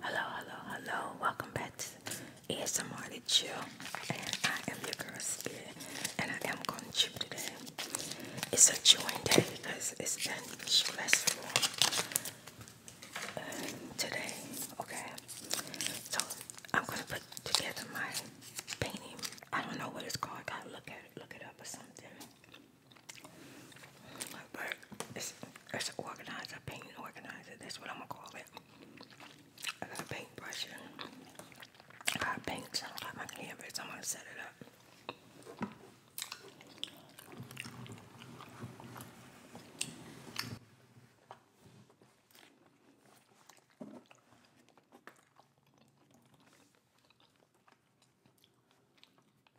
Hello, hello, hello. Welcome back to ASMR to Chill. And I am your girl Spirit. And I am going to chew today. It's a chewing day because it's been stressful uh, today. Okay. So I'm going to put together my painting. I don't know what it's called. I gotta look at it, look it up or something. But it's, it's an organizer, paint organizer. That's what I'm gonna call it. I got a paintbrush I got paint. I got my canvas. I'm gonna set it up.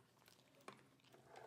Find out what these for.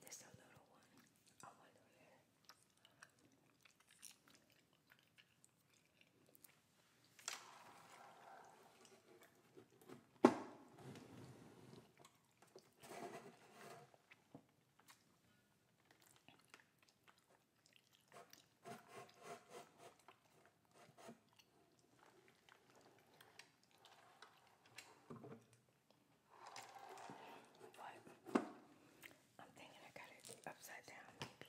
There's a little one. I wonder there. But I'm thinking I got it upside down, maybe. Oh.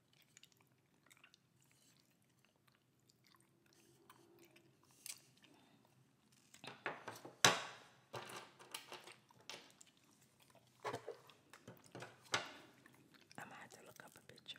I'm gonna have to look up a picture.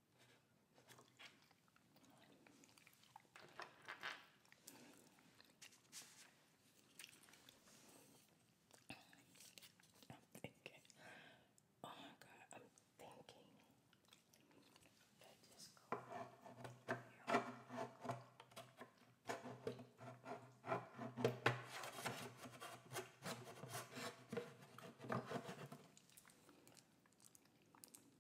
I'm thinking, oh my god, I'm thinking that just go here.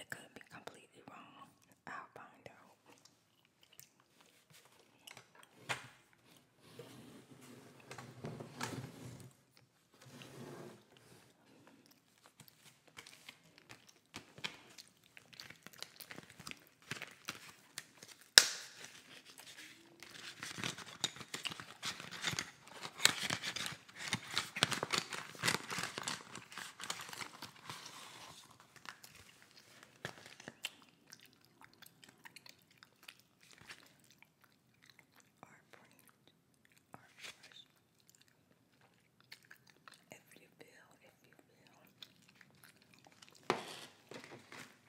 It could be completely wrong. I'll find out. Our brains are fresh. If you feel, if you feel.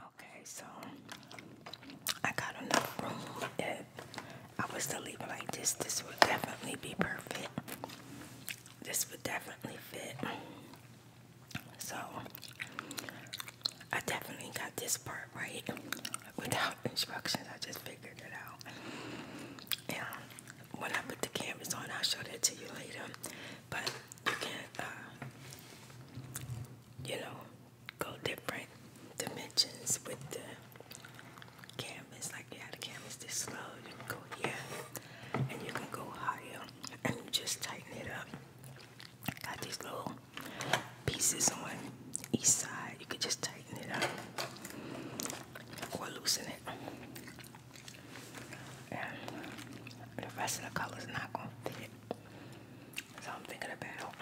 Okay, so I got enough room. If I was to leave it like this, this would definitely be perfect. This would definitely fit. So I definitely got this part right without instructions. I just figured it out. And when I put the canvas on, I'll show that to you later. But you can, uh, you know, go different dimensions with the canvas. Like yeah, the canvas is slow. you can go here, and you can go higher, and you just tighten it up. Got these little pieces on each side. You could just tighten it up or loosen it. And the rest of the color's not gonna fit. So I'm thinking about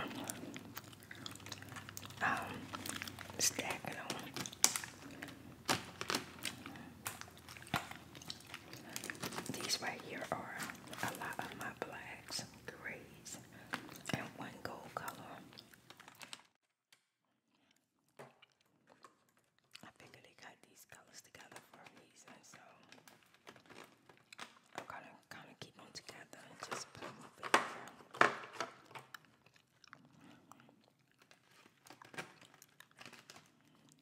um, stacking them. These right here are a lot of my blacks, grays, and one gold color. I figure they got these colors together for a reason, so I'm gonna kind of keep them together and just put them over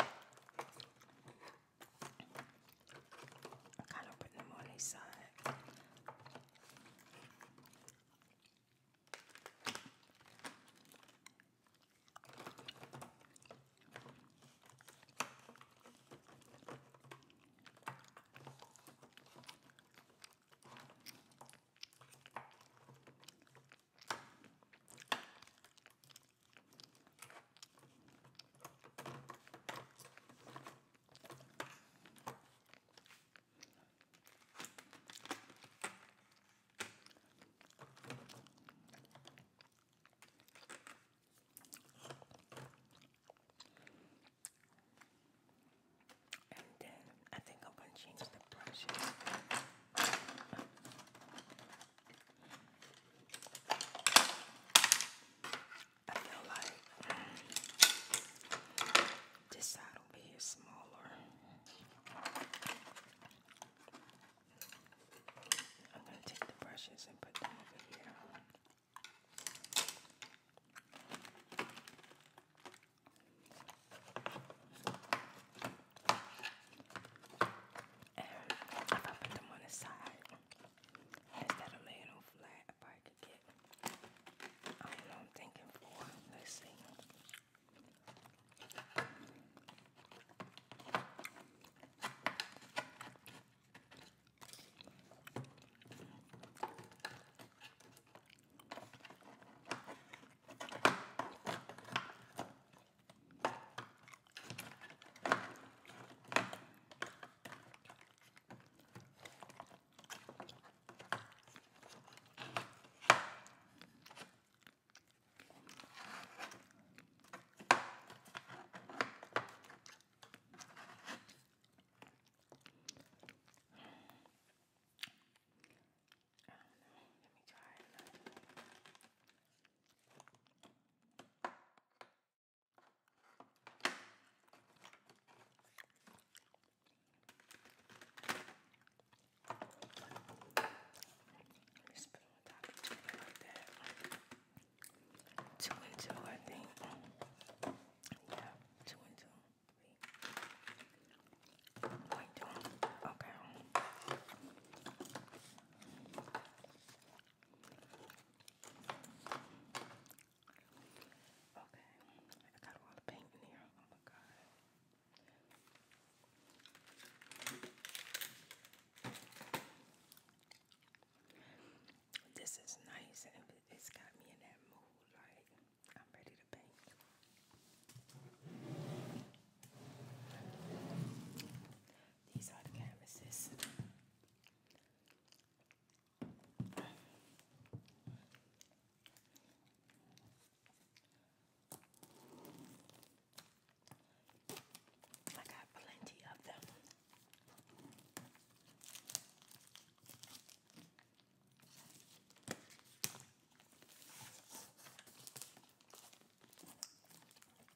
I kind of put them on each side. And then I think I'm going to change the brush. I feel like this side over here is smaller. I'm going to take the brushes and put them over here. And if I put them on the side, instead of laying them flat, I could get, I don't thinking for, let's I don't know. Let me try another. Just put on top of it like that. Two and two, I think. Yeah, two and two. Wait. Like two. Okay. Okay, I got a lot paint in here. Oh my god. This is nice and it's got me in that mood. Like, I'm ready to paint. These are the canvases. I got plenty of them.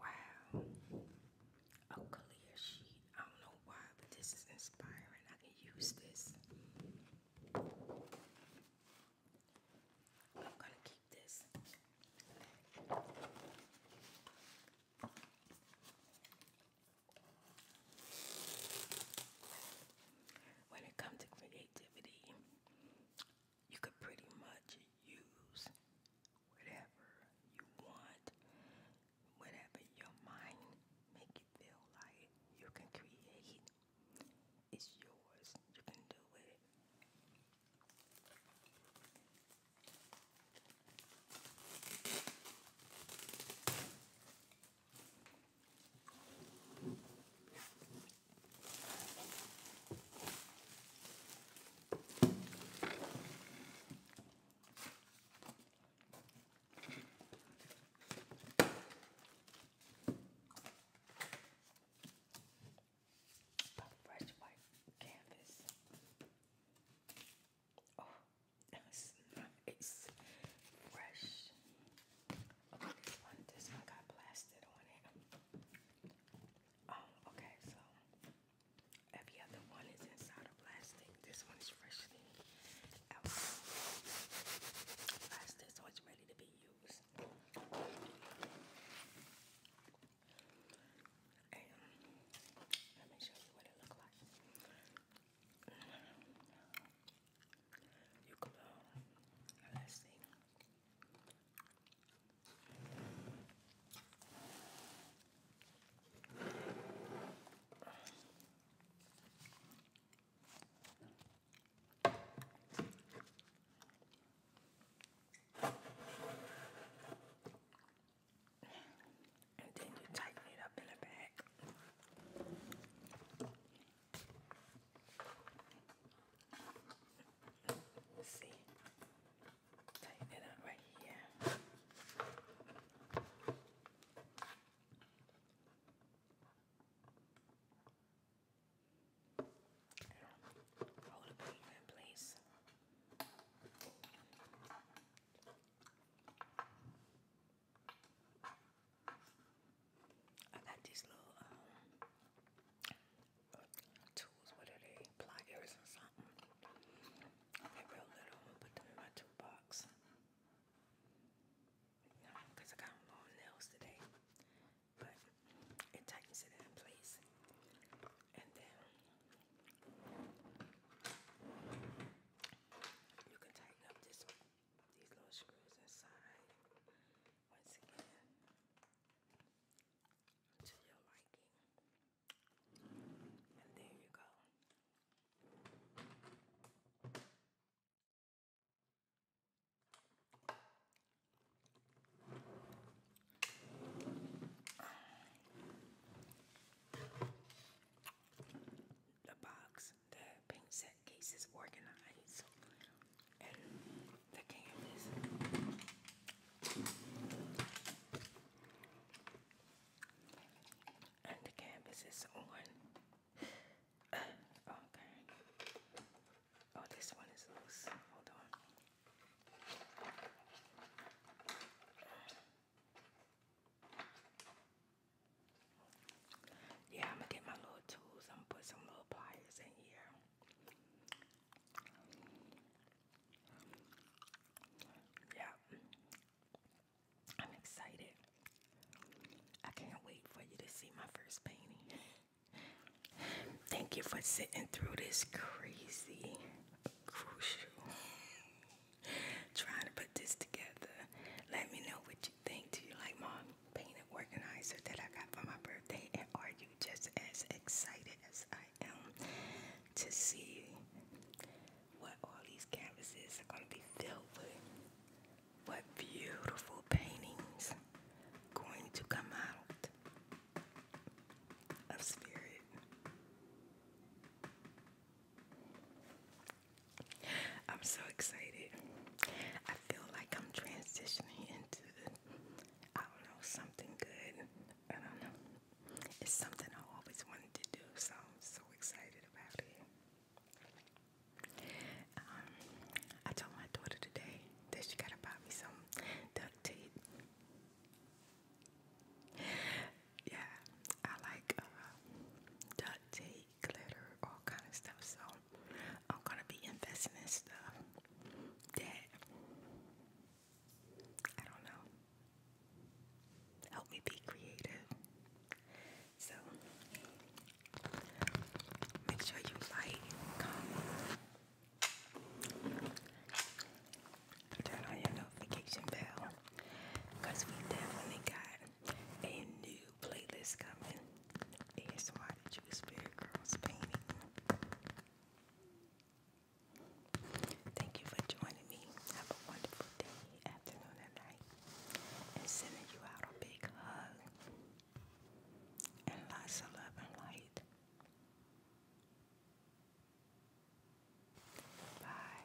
Wow. A clear sheet. I don't know why, but this is inspiring. I can use this. I'm going to keep this. When it comes to creativity, you could pretty much use whatever you want, whatever your mind make you feel like you can create. It's yours. You can do it. But fresh white canvas. Oh, it's not, it's fresh. this one, got plastered on it. Oh, okay, so every other one is inside of plastic. This one is freshly out plastic, so it's ready to be used. And let me show you what it looks like. You let's see. And then you tighten it up in the back. Let's see. Tighten it up right here. Hold the paper in place. I got these little um, tools, what are they? Pliers or something. they real little. i put them in my toolbox. No, because I got long nails today. But it tightens it in place. And then you can tighten up this these little screws inside. Once again to your liking. And there you go. The box, the paint set case organized and the candies. And the canvas is on. Uh, okay. Oh, this one is loose. Hold on. Yeah, I'm gonna get my little tools. and put some little pliers in here. Yeah. I'm excited. I can't wait for you to see my first painting. Thank you for sitting through this crazy, crucial, trying to put this together. Let me know what you think. Do you like my painting organizer that I got for my birthday? And are you just as excited? excited I am to see what all these canvases are going to be filled with. What beautiful paintings going to come out of spirit. I'm so excited. I feel like I'm transitioning into I don't know, something good. I don't know. It's something I always wanted to do, so I'm so excited about it. Um, I told my daughter today that she gotta buy me some duct tape. Yeah, I like uh, duct tape, glitter, all kind of stuff. So I'm gonna be investing in stuff that I don't know. Help me be creative. So make sure you like, comment, turn on your notification bell because we definitely got a new playlist coming. ASMR Juice Spirit Girls painting. Thank you for joining me. Have a wonderful day, afternoon, and night. sending you out a big hug and lots of love and light. Bye.